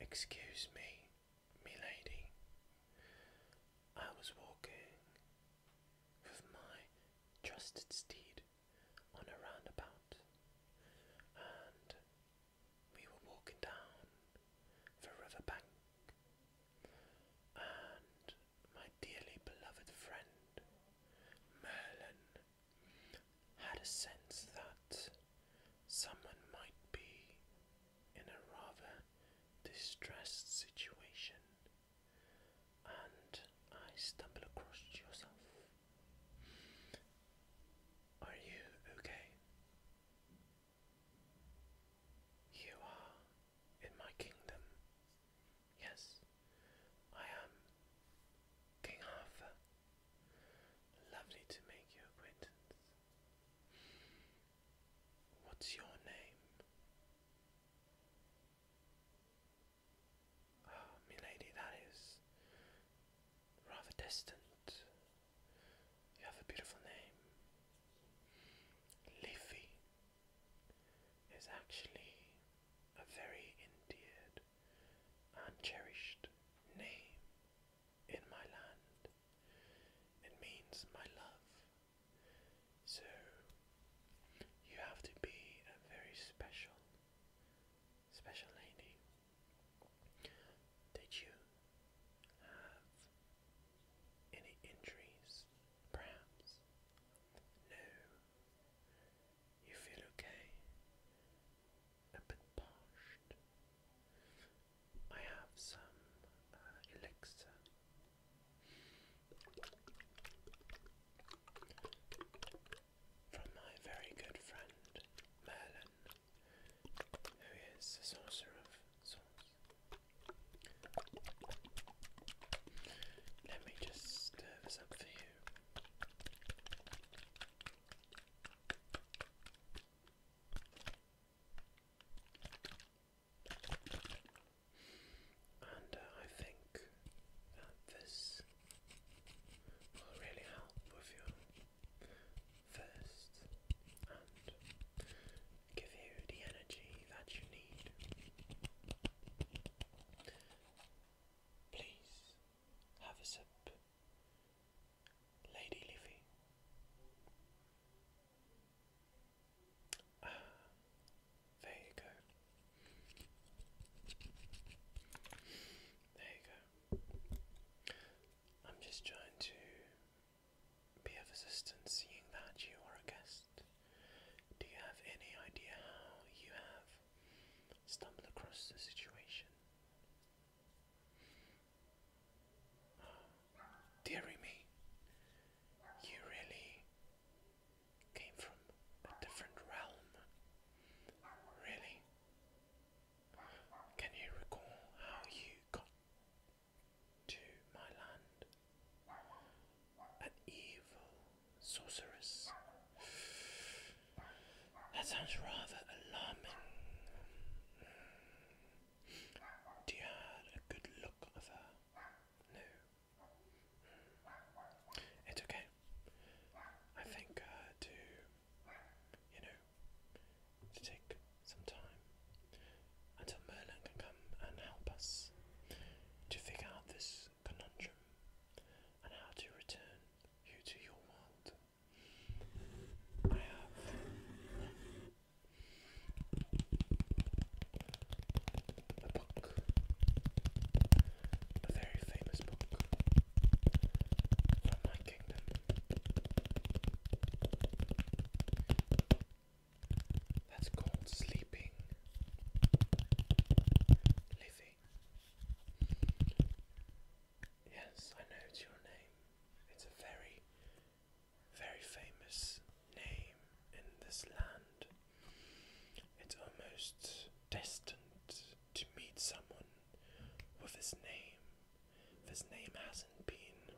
Excuse me, milady. I was walking with my trusted steed on a roundabout, and we were walking down the river and my dearly beloved friend Merlin had a sense that someone might be in a rather distressed situation, and I stumbled across yourself. Are you okay? You are in my kingdom. Yes, I am King Arthur. Lovely to make your acquaintance. What's your name? Ah, milady, that is rather distant. You have a beautiful name. Leafy is actually a very endeared and cherished name in my land. It means my love. So you have to be a very special, special lady did you have any injuries, perhaps? No. You feel okay? A bit parched. I have some uh, elixir. From my very good friend Merlin, who is the sorcerer of sorts. Let me just stir this up for you. And uh, I think that this will really help with your first and give you the energy that you need. Please have a sip, Lady Livy. Ah, there you go. There you go. I'm just trying to be of assistance seeing that you are a guest? Do you have any idea how you have stumbled across the situation? Oh, dearie me, you really came from a different realm. Really? Can you recall how you got to my land? An evil sorceress. That sounds rather alarming. Do you had a good look of her? No. It's okay. I think uh, to you know, to take some time until Merlin can come and help us to figure out this conundrum and how to return you to your world. I have a book, a very famous book from my kingdom. That's called sleeping, living. Yes, I know it's your name. It's a very, very famous name in this land. It's almost destined to meet someone with his name. This name hasn't been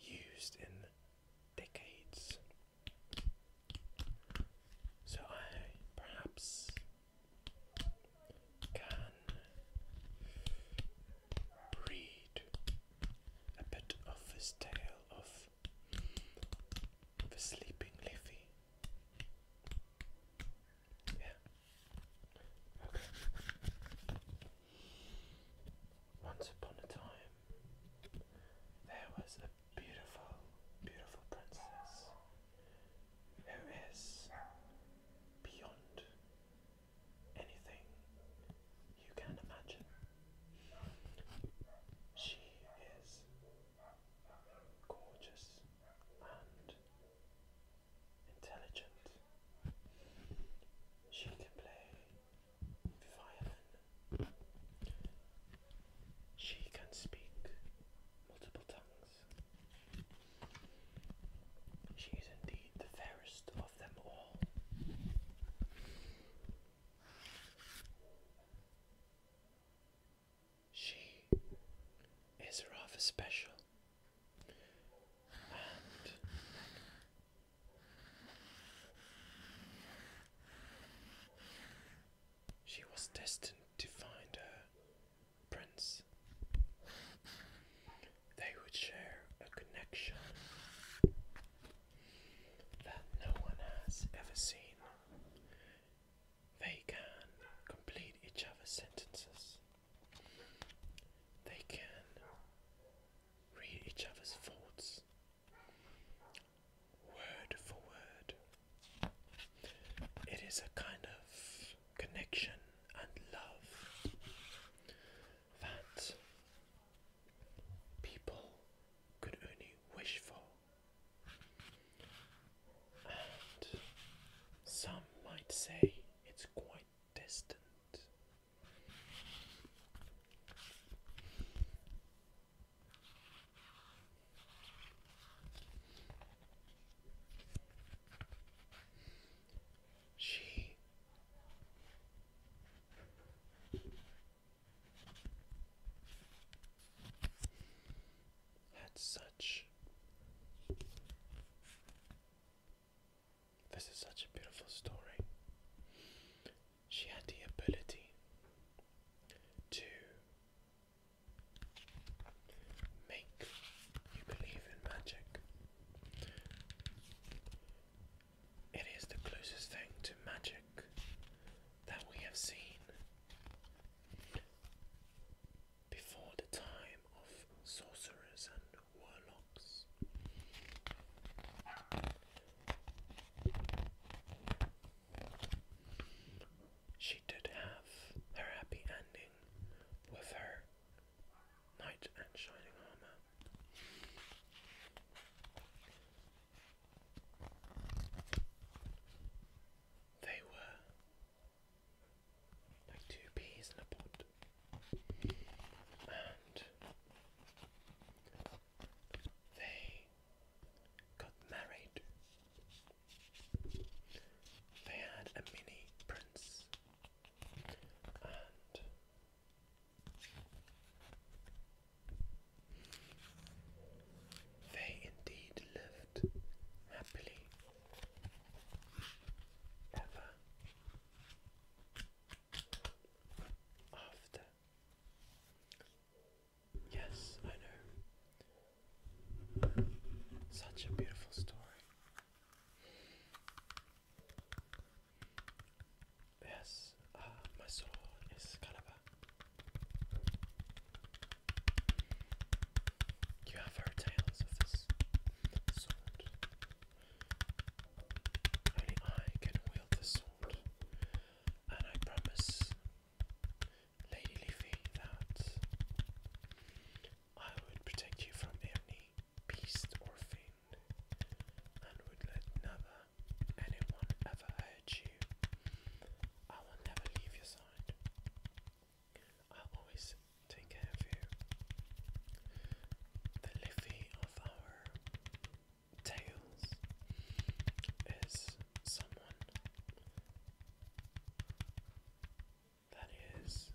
used in decades. So I perhaps can read a bit of this tale of the sleeping Liffy. Once upon a time, there was a beautiful, beautiful princess who is beyond anything you can imagine. She is gorgeous and intelligent. She can play violin. She can speak multiple tongues. She is indeed the fairest of them all. She is rather special she was destined to find her prince. They would share a connection that no one has ever seen. They can complete each other's sentences. They can read each other's thoughts word for word. It is a kind of connection and love that people could only wish for and some might say it's quite distant. She had such. This is such a beautiful story. She had the ability to make you believe in magic. It is the closest thing to magic that we have seen before the time of sorcerers and warlocks. She did have her happy ending with her knight and shining armor. They were like two peas in a pot. And they got married. They had a mini prince. And they indeed lived happily ever after. Yes, I know. Such a beautiful story. Yes, uh, my sword is Excalibur. You have heard tales of this sword. I can wield this sword, and I promise Lady Leafy that I would protect you from any beast or fiend, and would let never anyone ever hurt you. I will never leave your side i always take care of you. The Liffey of our tales is someone that is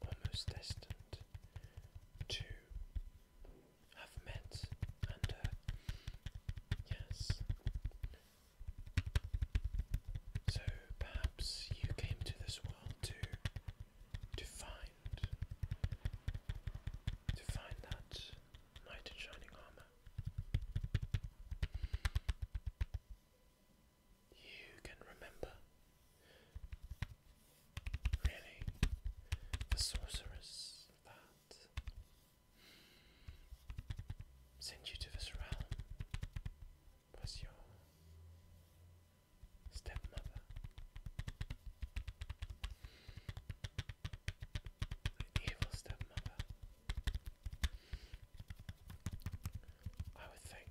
almost destined to have met and uh, yes so perhaps you came to this world to to find to find that knight in shining armor. You can remember really the sorceress that send you to this realm was your stepmother. An evil stepmother. I would think,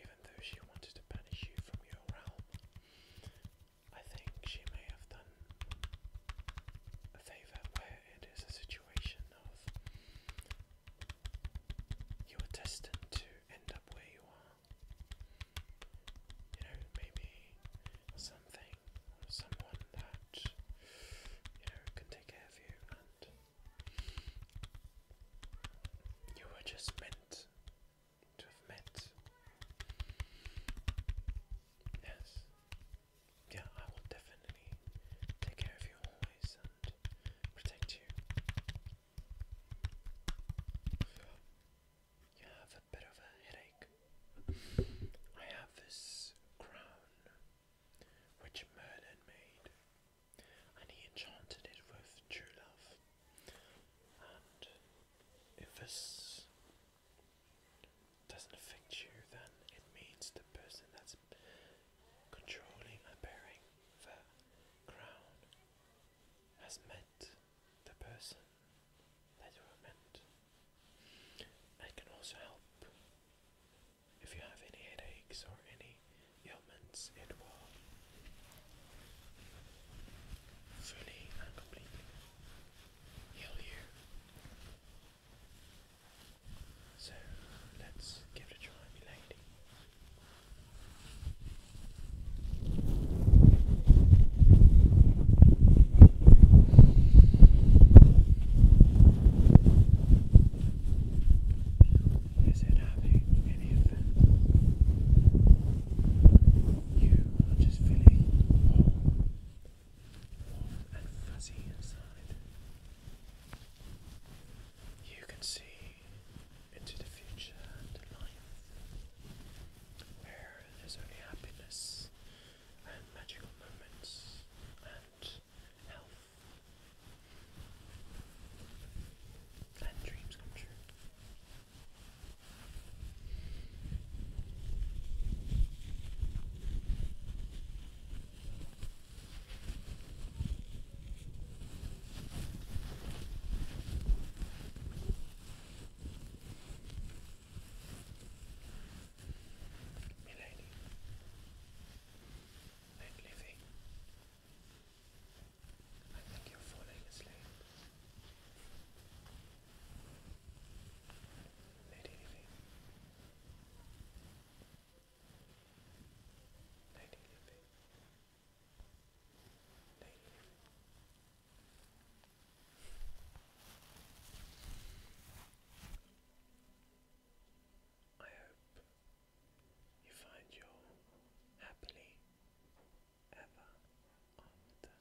even though she wanted to banish you from your realm, I think she may have done a favour where it is a situation you were destined to end up where you are. You know, maybe something someone that, you know, can take care of you, and you were just meant to have met. Yes, yeah, I will definitely take care of you always and protect you. You have a bit of a headache. I have this crown which Merlin made, and he enchanted it with true love. And it was doesn't affect you, then it means the person that's controlling and bearing the crown has met the person that you are meant. It can also help if you have any headaches or any ailments, it will fully and completely heal you. So let's give it a try, milady. Is it having any effect? You are just feeling warm warm and fuzzy inside. You can see into the future and life where there's only happiness and magical moments and health and dreams come true. Milady, I think you're falling asleep. Nighty I hope you find your happily ever after